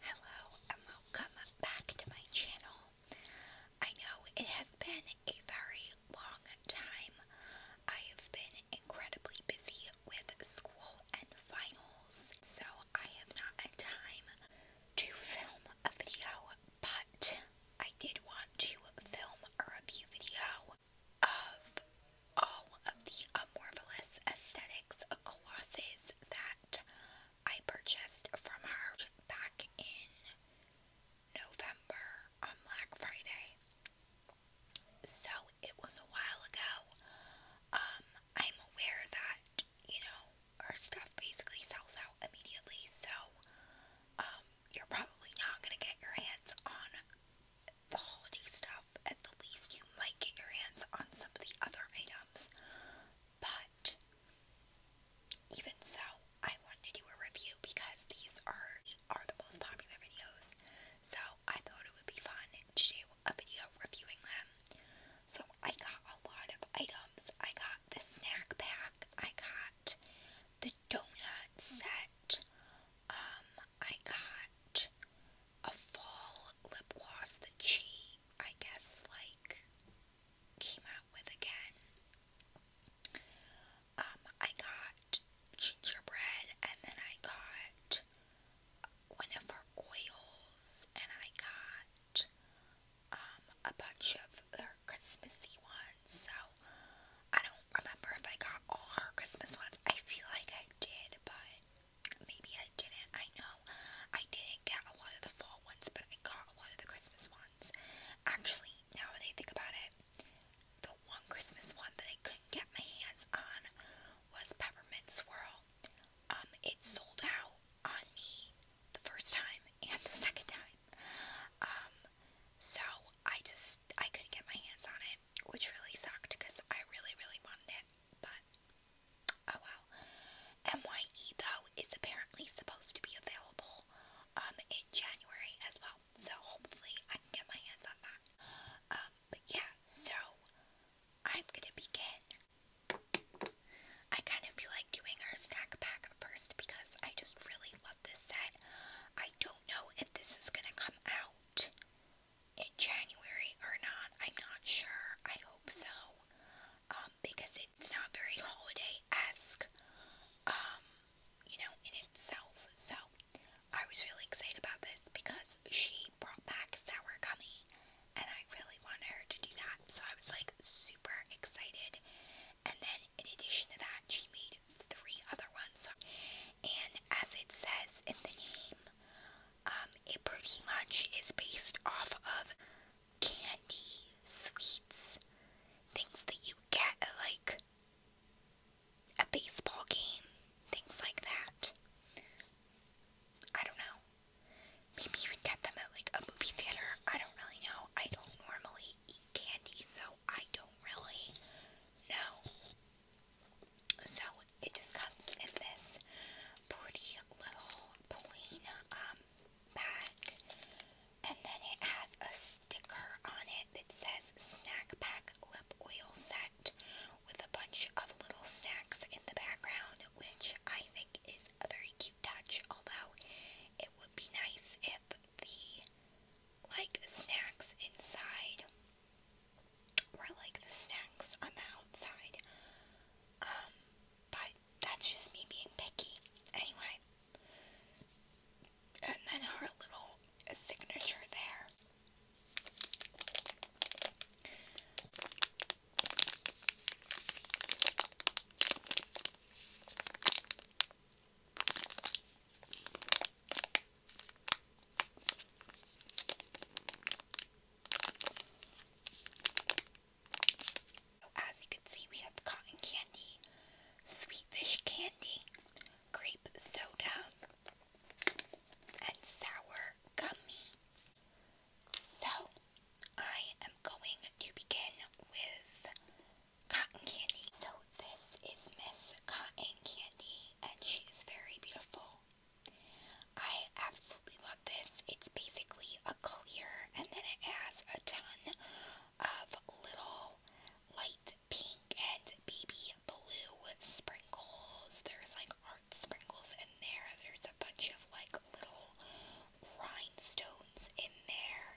Hello and welcome back to my channel. I know it has been a very long time. I have been incredibly busy with school and finals, so I have not had time to film a video, but I did want to film a review video of all of the uh, Marvelous Aesthetics glosses that I purchased from her back in November on Black Friday. So it was a while ago. Um, I'm aware that, you know, her stuff basically sells out immediately, so um, you're probably not gonna get your hands on the holiday stuff at the least you might get your hands on some of the other items. But even so, I wanted to do a review because these are are the most popular videos. So I thought it would be fun to do a video reviewing them. So I got a lot of items. I got the snack pack. I got the donut set. Um, I got a fall lip gloss that she, I guess, like came out with again. Um, I got gingerbread and then I got one of her oils and I got um a bunch of her Christmassy ones. So I don't remember if I got all her Christmas ones. I feel like I did, but Maybe I didn't. I know I didn't get a lot of the fall ones, but I got a lot of the Christmas ones. Actually, now that I think about it, the one Christmas one that I couldn't get my hands on was Peppermint Swirl. Um, it sold out on me the first time and the second time. Um, so I just I couldn't get my hands on it, which really sucked because I really, really wanted it. But Oh wow. MYE though is apparently supposed to be available um in January as well. So hopefully I can get my hands on that. Um, but yeah, so I'm gonna begin. I kind of feel like doing our snack pack first because I just really love this set. I don't know if this is gonna come out in January or not. I'm not sure. I hope so. Um, because it's not very holiday esque, um, you know, in itself. So I was really excited about this because she brought back sour gummy and I really wanted her to do that. So I was like super excited. And then in addition to that, she made three other ones. And as it says in the name, um, it pretty much is based off of candy, sweets, things that you get like a baseball game, things like that. I don't know. Maybe you would get them at like a movie theater. I don't really know. I don't normally eat candy, so I don't really know. So it just comes in this pretty little plain um, pack, and then it has a sticker on it that says Snack Pack Lip Oil Set with a bunch of little snacks in the background, which I think is a very cute touch, although it would be nice if the like snacks inside were like the snacks on the outside. Um, but that's just me being picky. Anyway, and then her little signature there. As you can see, we have cotton candy, sweet candy, grape soda, and sour gummy. So, I am going to begin with cotton candy. So, this is Miss Cotton Candy, and she is very beautiful. I absolutely love this. It's basically a clear and then it has a ton of little light pink and baby blue sprinkles. There's like art sprinkles in there. There's a bunch of like little rhinestones in there.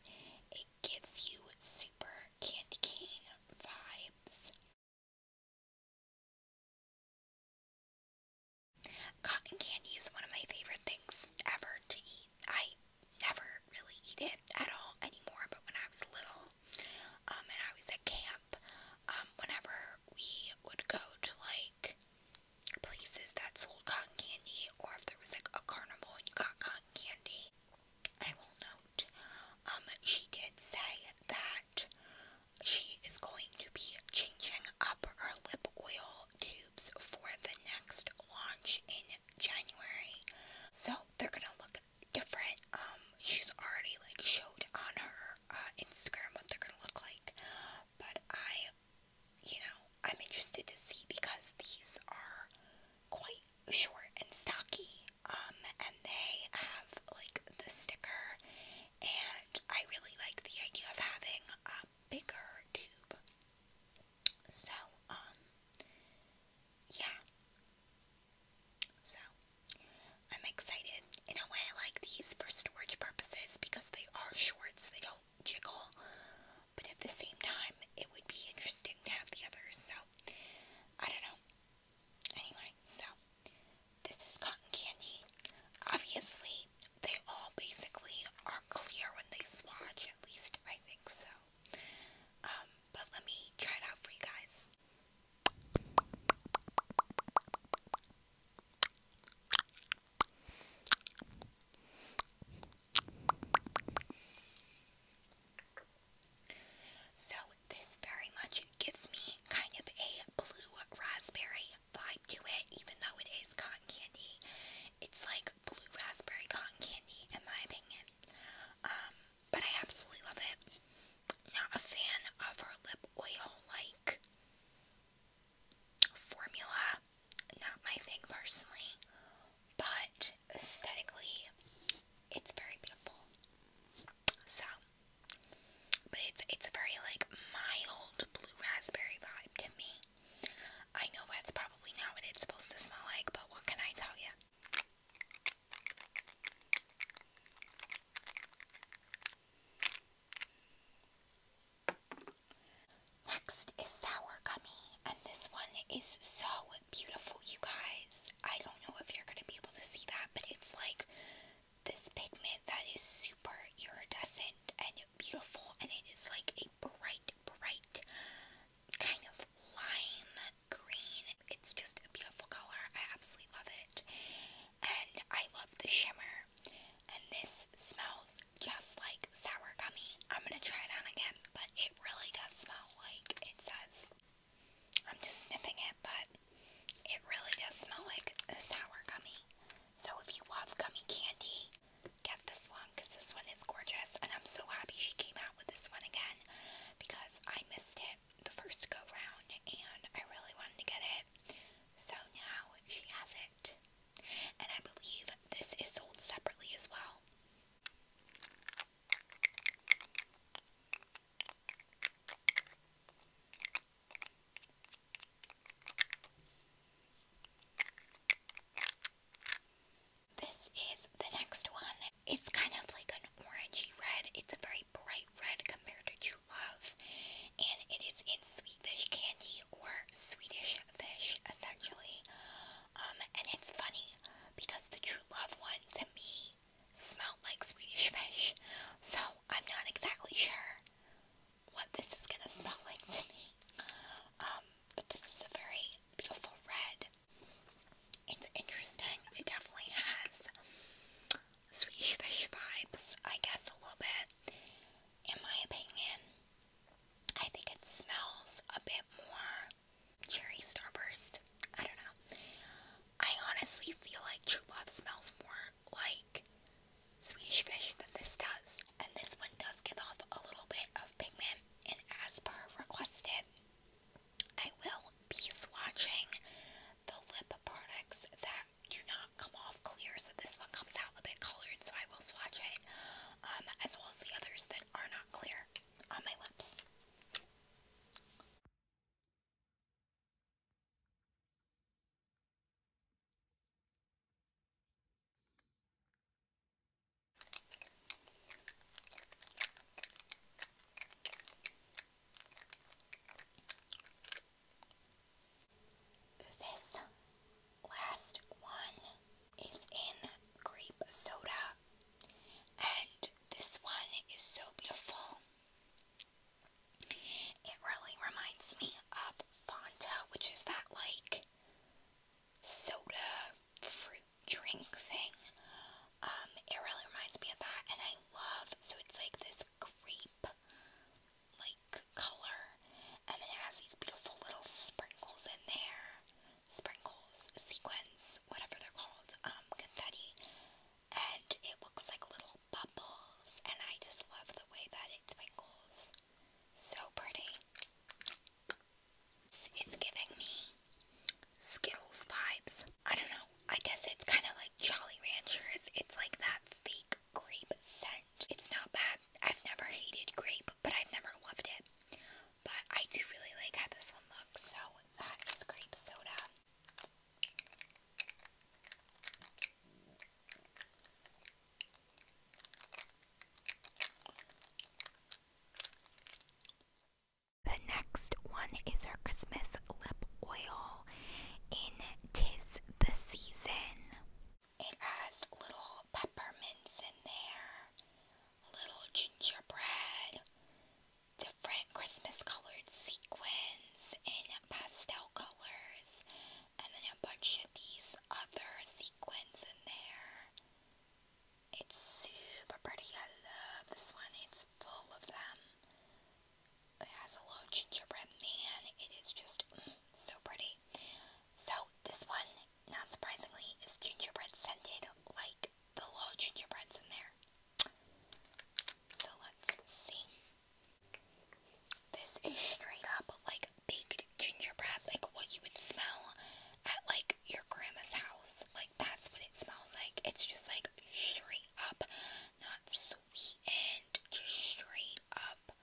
It gives you super candy cane vibes. Cotton candy is one of my favorite things ever to eat. I never really eat it at all anymore, but when I was little um, and I was at camp, um, whenever we would go to like places that sold cotton candy, or if there was like a carnival and you got cotton candy, I will note um, she did say that she is going to be changing up her lip oil tubes for the next launch in January. So they're gonna look different. Um, she's already like showed on her uh, Instagram what they're gonna look like, but I, you know, I'm interested to see because these are quite short and stocky. Um, and they have like the sticker and I really like the idea of having a bigger tube. So, um, yeah. So, I'm excited. In a way, I like these for storage purposes because they are shorts, they don't jiggle. But at the same time, it would be interesting to have the others, so I don't know. Anyway, so this is cotton candy. Obviously, they all basically are clear when they swatch, at least I think so. Um, but let me try it out for you guys. So, this very much gives me kind of a blue raspberry vibe to it, even though it is cotton candy. It's like blue raspberry cotton candy, in my opinion. Um, but I absolutely love it. Not a fan of her lip oil like formula. Not my thing personally. But aesthetically, it's very beautiful. So but it's it's very like mild blue raspberry vibe to me. I know that's probably not what it's supposed to smell like, but what can I tell you? Next is Sour Gummy, and this one is so beautiful, you guys. I don't know if you're going to be able to see that, but it's like this pigment that is super iridescent and beautiful, and it is like a bright, bright kind of lime green. It's just a beautiful color. I absolutely love it. And I love the shimmer. And this smells just like sour gummy. I'm gonna try it on again, but it really does smell like it says. I'm just sniffing it it, but it really does smell like a sour gummy. So if you love gummy candy, get this one because this one is gorgeous. And I'm so happy she came out with this one again because I missed it the first go round and I really wanted to get it. So now she has it. And I believe this is sold separately as well. This is the next one. It's kind of like an orangey red. It's a very bright red compared to True Love. And it is in sweet fish candy or Swedish fish, essentially. Um, and it's funny because the True Love one to me smelled like Swedish fish. So I'm not exactly sure what this is gonna smell like to me. Um, but this is a very beautiful red. It's interesting. It definitely has sweet fish vibes, I guess, a little bit. In my opinion, I think it smells a bit more cherry starburst. I don't know. I honestly feel like True Love smells more like Swedish fish than this does. And this one does give off a little bit of pigment, and as per requested, I will be swatching the lip products that do not come off clear. So this one comes out a bit colored, so I will swatch it, um, as well as the others that are not clear on my lips. This last one is in grape soda, and this one is so beautiful. It really reminds me of Fanta, which is that like soda fruit drink thing. Um, it really reminds me of that, and I love so it's like this grape like color, and it has these beautiful little sprinkles in there. Sprinkles, sequins, whatever they're called, um, confetti and it looks like little bubbles, and I just love the way that it twinkles. So pretty. It's, giving me Skittles vibes. I don't know. I guess it's kind of like Jolly Ranchers. It's like that fake grape scent. It's not bad. I've never hated grape, but I've never loved it. But I do really like how this one looks, so that is grape soda. The next one is our Christmas lip oil in Tis the Season. It has little peppermints in there, little gingerbread, different Christmas colored sequins ones in pastel colors, and then a bunch of these other sequins in there. It's super pretty. I love this one. It's full of them. It has a little gingerbread man. It is just mm, so pretty. So this one, not surprisingly, is gingerbread scented like the little gingerbreads in there. So let's see. This is straight up like baked gingerbread, like what you would smell at like your grandma's house. Like that's what it smells like. It's just like straight up, not sweetened, just straight up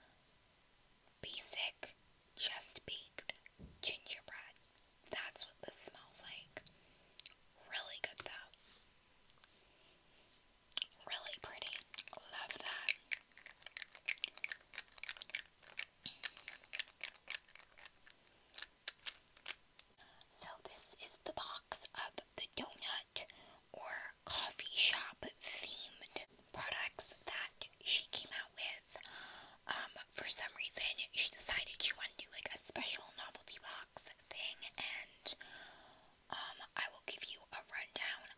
basic, just baked gingerbread. That's what this smells like. Really good though. Really pretty. Love that. So, this is the box of the donut or coffee shop themed products that she came out with. Um, for some reason, she decided she wanted to do like a special novelty box thing, and um, I will give you a rundown.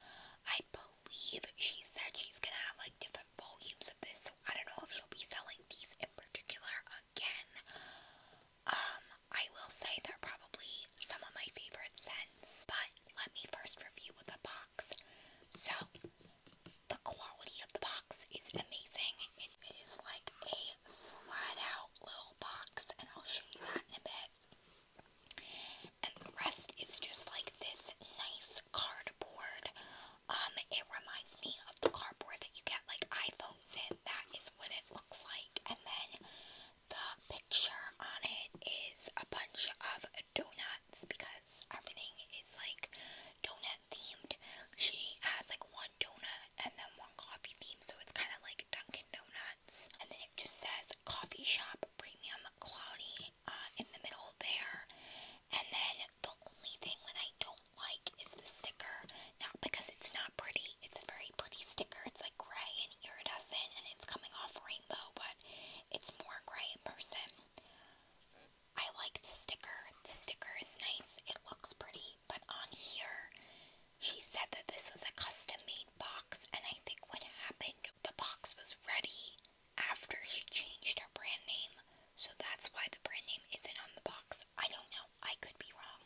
I believe she said she's gonna have like different volumes of this, so I don't know if she'll be selling these in particular again. Um, I will say they're probably some of my favorite scents, but let me first review with the box. So, the quality of the box is amazing. It is like a slide out little box, and I'll show you that in a bit. And the rest is just like this nice cardboard. Um, it reminds me of the cardboard that you get like iPhones in. That is what it looks like. And then the picture on it is a bunch of donuts because everything is like donut themed. She has like one donut and then one coffee theme, so it's kind of like Dunkin' Donuts donuts. And then it just says coffee shop premium quality uh, in the middle there. And then the only thing that I don't like is the sticker. Not because it's not pretty. It's a very pretty sticker. It's like gray and iridescent and it's coming off rainbow, but it's more gray in person. I like the sticker. The sticker is nice. It looks pretty, but on here she said that this was a custom made box, and I think what happened, the box was ready after she changed her brand name, so that's why the brand name isn't on the box. I don't know, I could be wrong,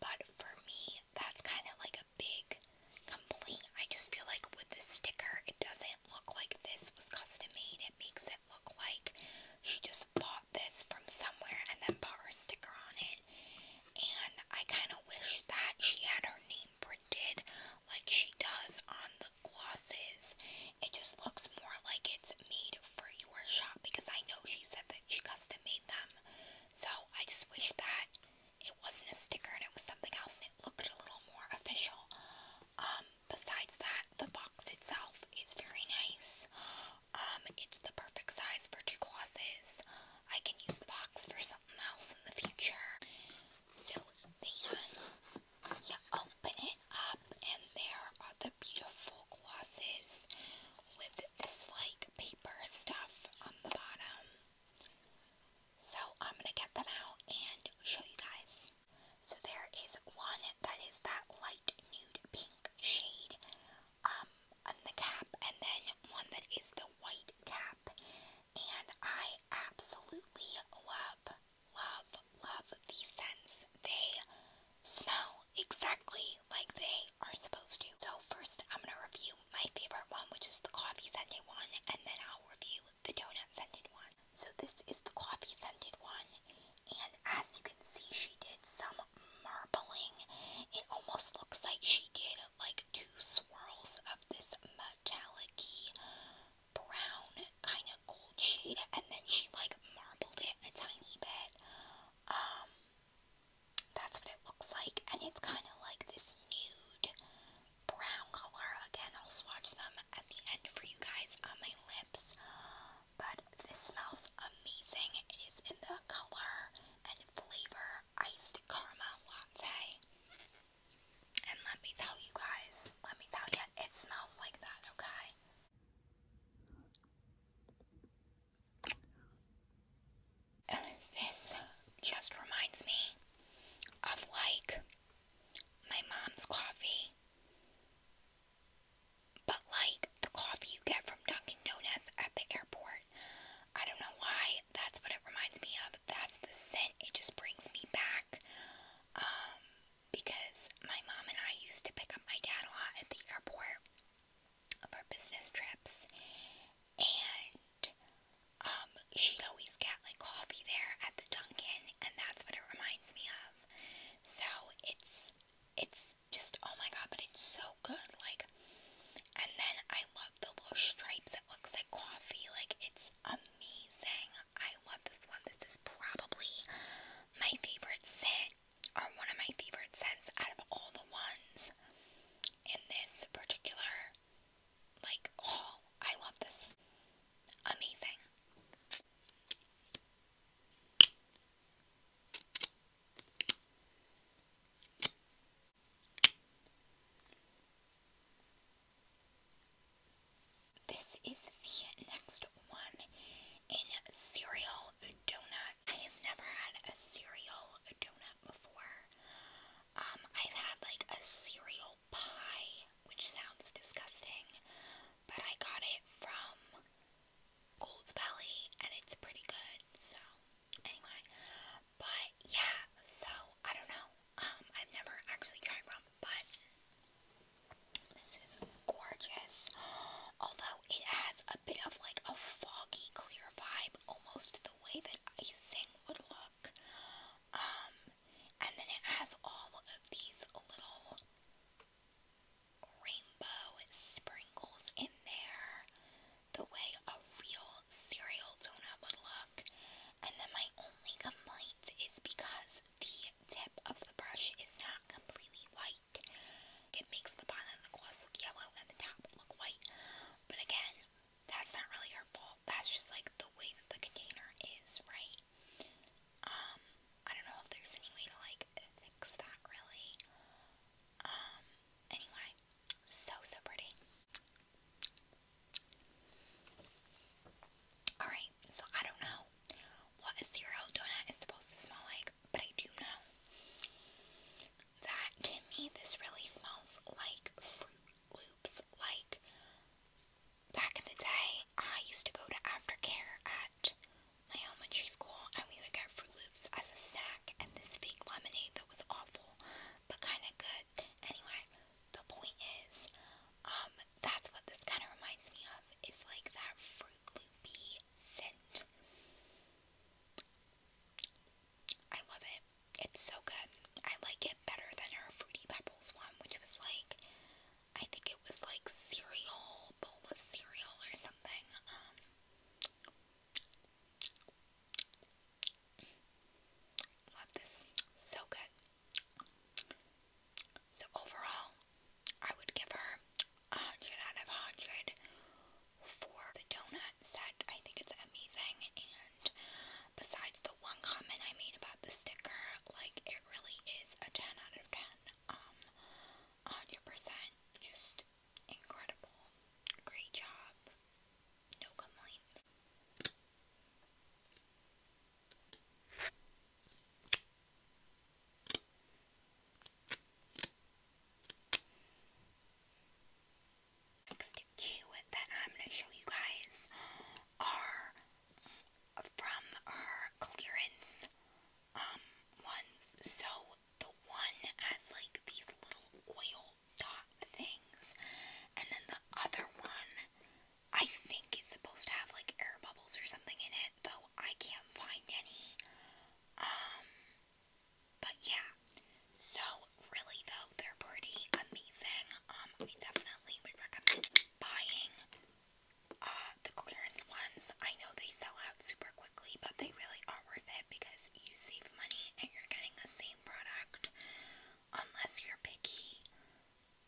but for me, that's kind of like a big complaint. I just feel like with the sticker, it doesn't look like this was custom made, it makes it look like she just bought this from somewhere and then put a sticker on it it. And I kind of wish that she had her name printed like she does on the glosses. It just looks more like it's made for your shop because I know she said that she custom made them. So I just wish that it wasn't a sticker and it was something else and it looked a little more official. Um, besides that, the box itself is very nice. Um, it's the perfect size for two glosses. I can use the box for something else in the future. So then you open it up, and there are the beautiful glosses with this like paper stuff on the bottom. So I'm gonna get them out and show you guys. So there is one that is that light nude pink shade um, the cap, and then one that is the white cap. And I absolutely love, love, love these scents. They smell exactly like they are supposed to. So, first, I'm going to review my favorite one, which is the coffee scented one, and then I'll review the donut scented one. So, this is the coffee scented one, and as you can see, she did some marbling. It almost looks like she did like two swirls of this metallic brown kind of gold shade, and then she like marbled it a tiny bit. Um, that's what it looks like, and it's kind of like this nude brown color. Again, I'll swatch them at the end for you guys on my lips. But this smells amazing. It is in the color and flavor iced caramel latte. And let me tell you guys, let me tell you, it smells like that, okay? And this just reminds me of like my mom's coffee. But like the coffee you get from Dunkin' Donuts at the airport. I don't know why that's what it reminds me of. That's the scent. It just brings me back. Um, because my mom and I used to pick up my dad a lot at the airport of our business trips, and um, she'd always get like coffee there at the Dunkin', and that's what it reminds me of. So it's it's just oh my god, but it's so good. Like, and then I love the little stripes. It looks like coffee. Like, it's amazing. I love this one. This is probably my favorite scent, or one of my favorite scents out of all the ones in this particular. Like, oh, I love this. Amazing. This is the next one in cereal donut. I have never had a cereal donut before. Um, I've had like a cereal pie, which sounds disgusting, but I got it from Gold's Belly and it's pretty good. So, anyway, but yeah, so I don't know. Um, I've never actually tried rum, but this is gorgeous. Although it has a bit of like a foggy, clear vibe, almost the way that icing would look. Um, and then it has all of these little rainbow sprinkles in there the way a real cereal donut would look. And then my only complaint is because the tip of the brush is not completely white. It makes the bottom of the gloss look yellow and the top look white. But again, that's not really her fault. That's just like the way that the container is, right? Um, I don't know if there's any way to like fix that really. Um, anyway, so, so pretty. Alright, so I don't know what a cereal donut is supposed to smell like, but I do know that to me this really smells like Fruit Loops. Like, back in the day, I used to go to aftercare at my elementary school and we would get Fruit Loops as a snack and this fake lemonade that was awful but kind of good. Anyway, the point is, um, that's what this kind of reminds me of. It's like that Fruit Loopy scent. I love it. It's so good. I like it better than her Fruity Pebbles one, which was like, I think it was like cereal, bowl of cereal or something. Um, Love this. So good. So overall, I would give her a hundred out of hundred for the donut set. I think it's amazing and besides the one comment I made about the sticker, like it really is a ten out of ten. Um hundred percent just Incredible. Great job. No complaints. Next cue that I'm going to show you guys are from her clearance um ones. So the one has like these little oil dot things. And then the other one, I think is supposed to have like air bubbles or something in it, though I can't find any. Um, but yeah. So really though, they're pretty amazing. Um, I definitely would recommend buying uh the clearance ones. I know they sell out super quick quickly, but they really are worth it because you save money and you're getting the same product unless you're picky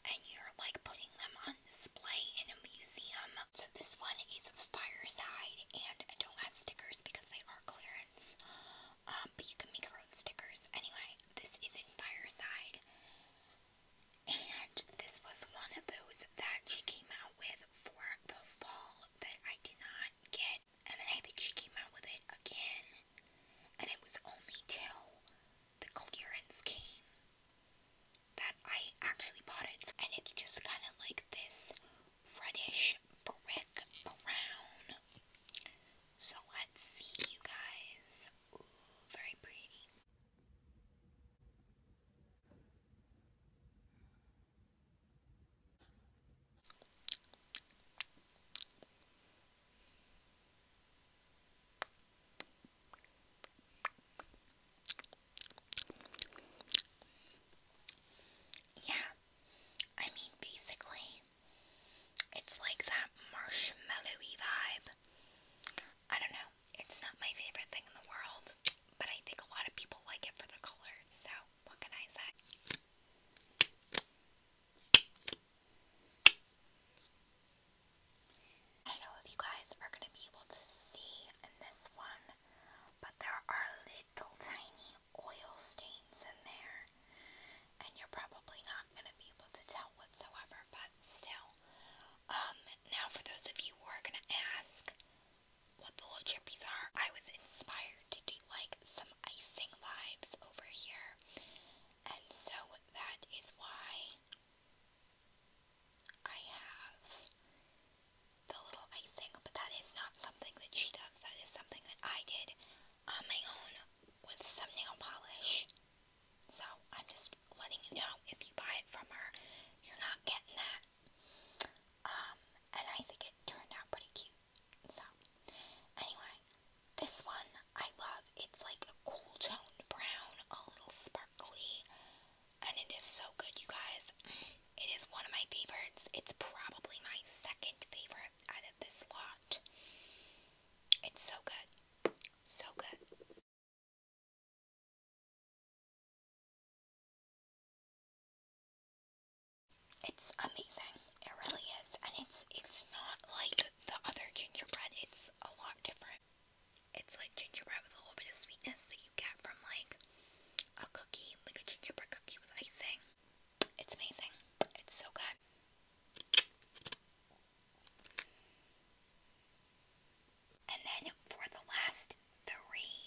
and you're like putting them on display in a museum. So this one is Fireside and I don't have stickers because they are clearance. Um, but you can make your own stickers. Anyway, this is in Fireside. And this was one of those that she came out with for the fall that I did not get and then I think she came out with it again. And it was only till the clearance came that I actually bought it. And it's just kind of like this reddish brick brown. So let's see, you guys. very pretty. Yeah, I mean, basically, it's like that marshmallowy vibe. I don't know, it's not my favorite thing in the world, but I think a lot of people like it for the color, so what can I say? I don't know if you guys are going to be able to see in this one, but there are little tiny oil stains in there, and you're probably not going to be able to tell whatsoever, but still. Um, now for those of you who are going to ask, what the little chippies are. I was inspired to do like some icing vibes over here, and so that is why I have the little icing, but that is not something that she does, that is something that I did on my own with some nail polish. So I'm just letting you know if you buy it from her, you're not getting that. Um, and I think it turned out pretty cute. So, anyway, this one I love. It's like a cool tone brown, a little sparkly, and it is so good, you guys. It is one of my favorites. It's probably my second favorite out of this lot. It's so good. So good. It's amazing. It really is. And it's it's not like the other gingerbread. It's a lot different. It's like gingerbread with a little bit of sweetness that you get from like a cookie, like a gingerbread cookie with icing. It's amazing. It's so good. And then for the last three,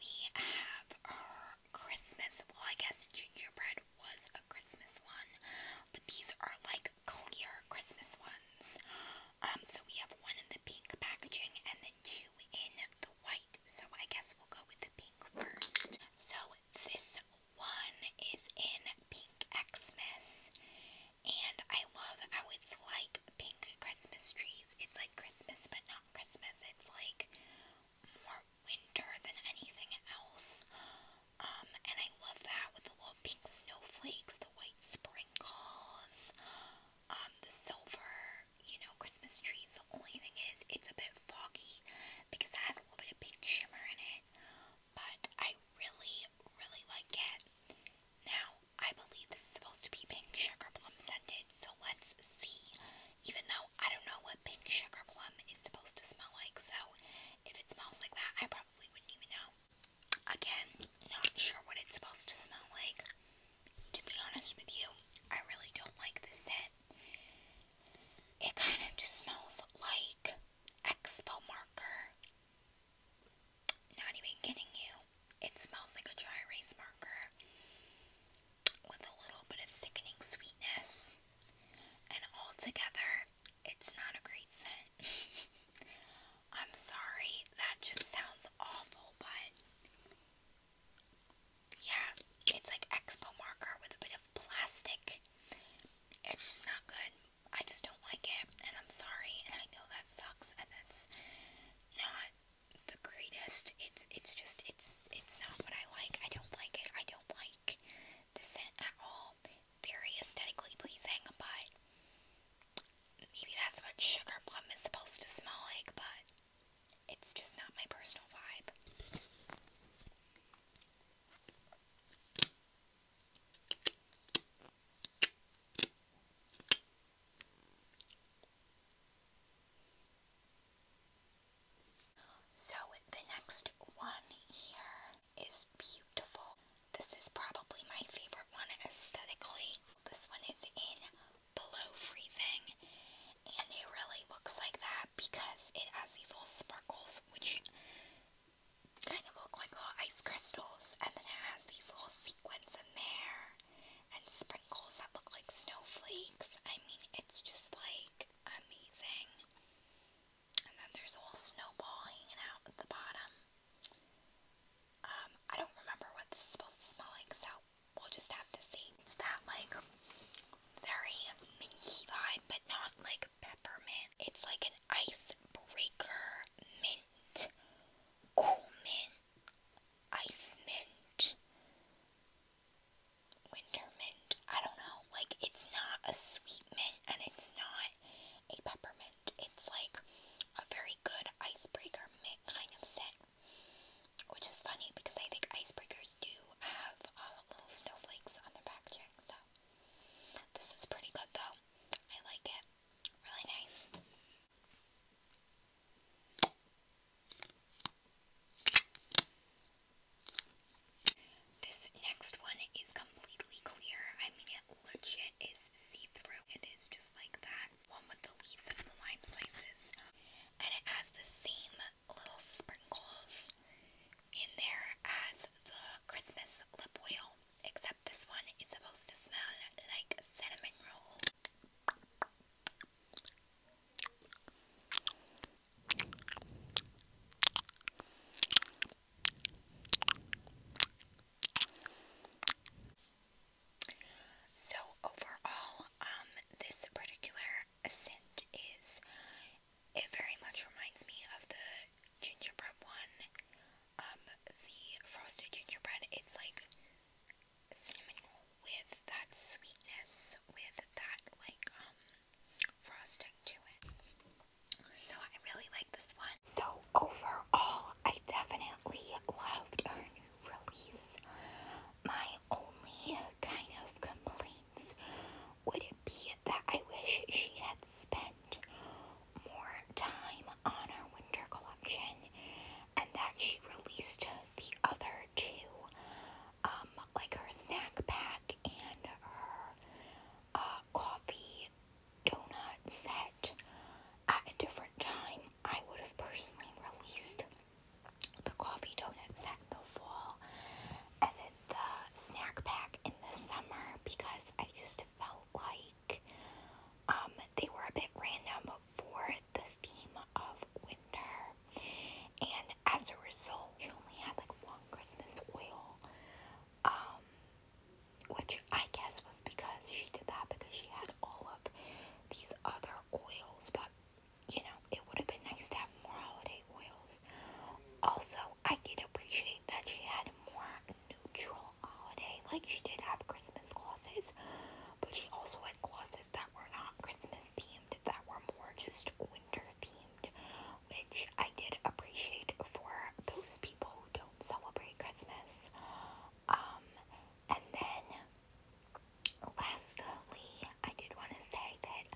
we have our Christmas. Well, I guess gingerbread was a Christmas one, but these are like clear Christmas ones. Um, so we have one in the pink packaging and then two in the white. So I guess we'll go with the pink first. So this one is in pink Xmas, and I love how it's like pink Christmas trees. It's like Christmas, but not Christmas. It's like more winter than anything else. Um, and I love that with the little pink snowflakes, the white sprinkles, um, the silver, you know, Christmas trees. The only thing is, it's a bit foggy because it has a little bit of pink shimmer in it. But I really, really like it. Now, I believe this is supposed to be pink sugar plum scented, so let's see even though I don't know what pink sugar plum is supposed to smell like, so if it smells like that, I probably wouldn't even know. Again, not sure what it's supposed to smell like. To be honest with you, I really don't like this scent. It kind of just smells like Expo marker. Not even kidding you. It smells like a dry erase marker with a little bit of sickening sweetness, and altogether, it's not a great scent. I'm sorry, that just sounds awful, but yeah, it's like Expo marker with a bit of plastic. It's just not good. I just don't like it, and I'm sorry, and I know that sucks, and that's not the greatest. It's it's just it's it's not what I like. I don't like it. I don't like the scent at all. Very aesthetically pleasing, but maybe that's what sugar plum is supposed to smell like. But it's just not my personal vibe. So the next one here is beautiful. This is probably my favorite one aesthetically. This one is in below freezing and it really looks like that because it has these little sparkles which kind of look like little ice crystals and then it has these little sequins in there and sprinkles that look like snowflakes. I mean, it's just like amazing. And then there's a little snowball hanging out at the bottom. Um, I don't remember what this is supposed to smell like, so we'll just have to see. It's that like very minty vibe, but not like peppermint. It's like an ice mint, cool mint, ice mint winter mint. I don't know. Like, it's not a sweet mint and it's not a peppermint. It's like a very good icebreaker mint kind of scent. Which is funny because I think icebreakers do have uh, little snowflakes on their packaging. So, this is pretty good though. I like it. Really nice. This next one is completely clear. I mean, legit is see-through. It is just like that one with the leaves and the lime slices. And it has the same little sprinkles in there as the Christmas lip oil. Except this one is supposed to smell like cinnamon roll. So overall, um, this particular scent is it very much reminds me of the gingerbread one, um, the frosted gingerbread. It's like cinnamon with that sweetness, with that like um, frosting to it. So I really like this one. So overall, I definitely loved her new release. My only kind of complaint would it be that I wish she had spent more time on her winter collection and that she released the other two, um, like her snack pack and her uh, coffee donut set at a different time. I would have personally released the coffee donut set in the fall and then the snack pack in the summer because I just felt like um, they were a bit random for the theme of winter, and as a result, you only had like one Christmas oil, um, which I guess was because she did that because she had all of these other oils, but you know, it would have been nice to have more holiday oils. Also, I did appreciate that she had more neutral holiday, like she did have Christmas glosses, but she also had glosses that were not Christmas themed that were more just winter themed, which I did appreciate for those people who don't celebrate Christmas. Um, and then lastly, I did want to say that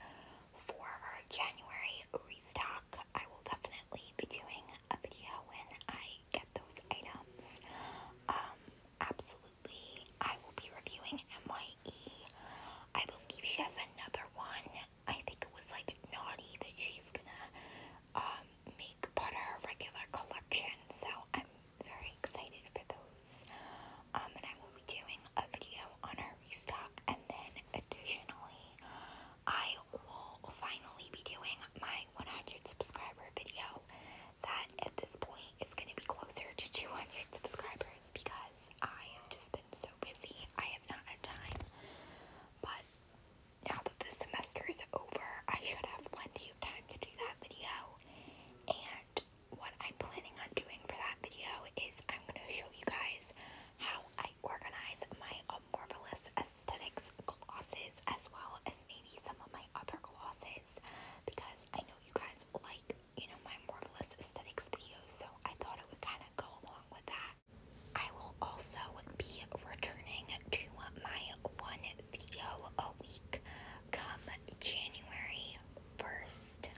for our January restock, I will definitely be doing a video when I get those items. Um, absolutely. I will be reviewing MYE. I believe she has another one. I think it was like Naughty that she's gonna um, make part of her regular collection. So I'm very excited for those. Um, and I will be doing a video on our restock. And then additionally, I will finally be doing my 100 subscriber video that at this point it's going to be closer to 200 subscribers because I have just been so busy. I have not had time. But now that the semester is over, I should have plenty of time to do that video. And what I'm planning on doing for that video is I'm going to show you guys how I organize my Marvelous Aesthetics glosses as well as maybe some of my other glosses because I know you guys like you know, my Marvelous Aesthetics videos, so I thought it would kind of go along with that. I will also be returning to my one video a week come January 1st.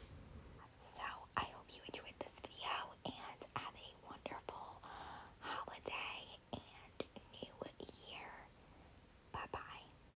So I hope you enjoyed this video and have a wonderful holiday and new year. Bye bye.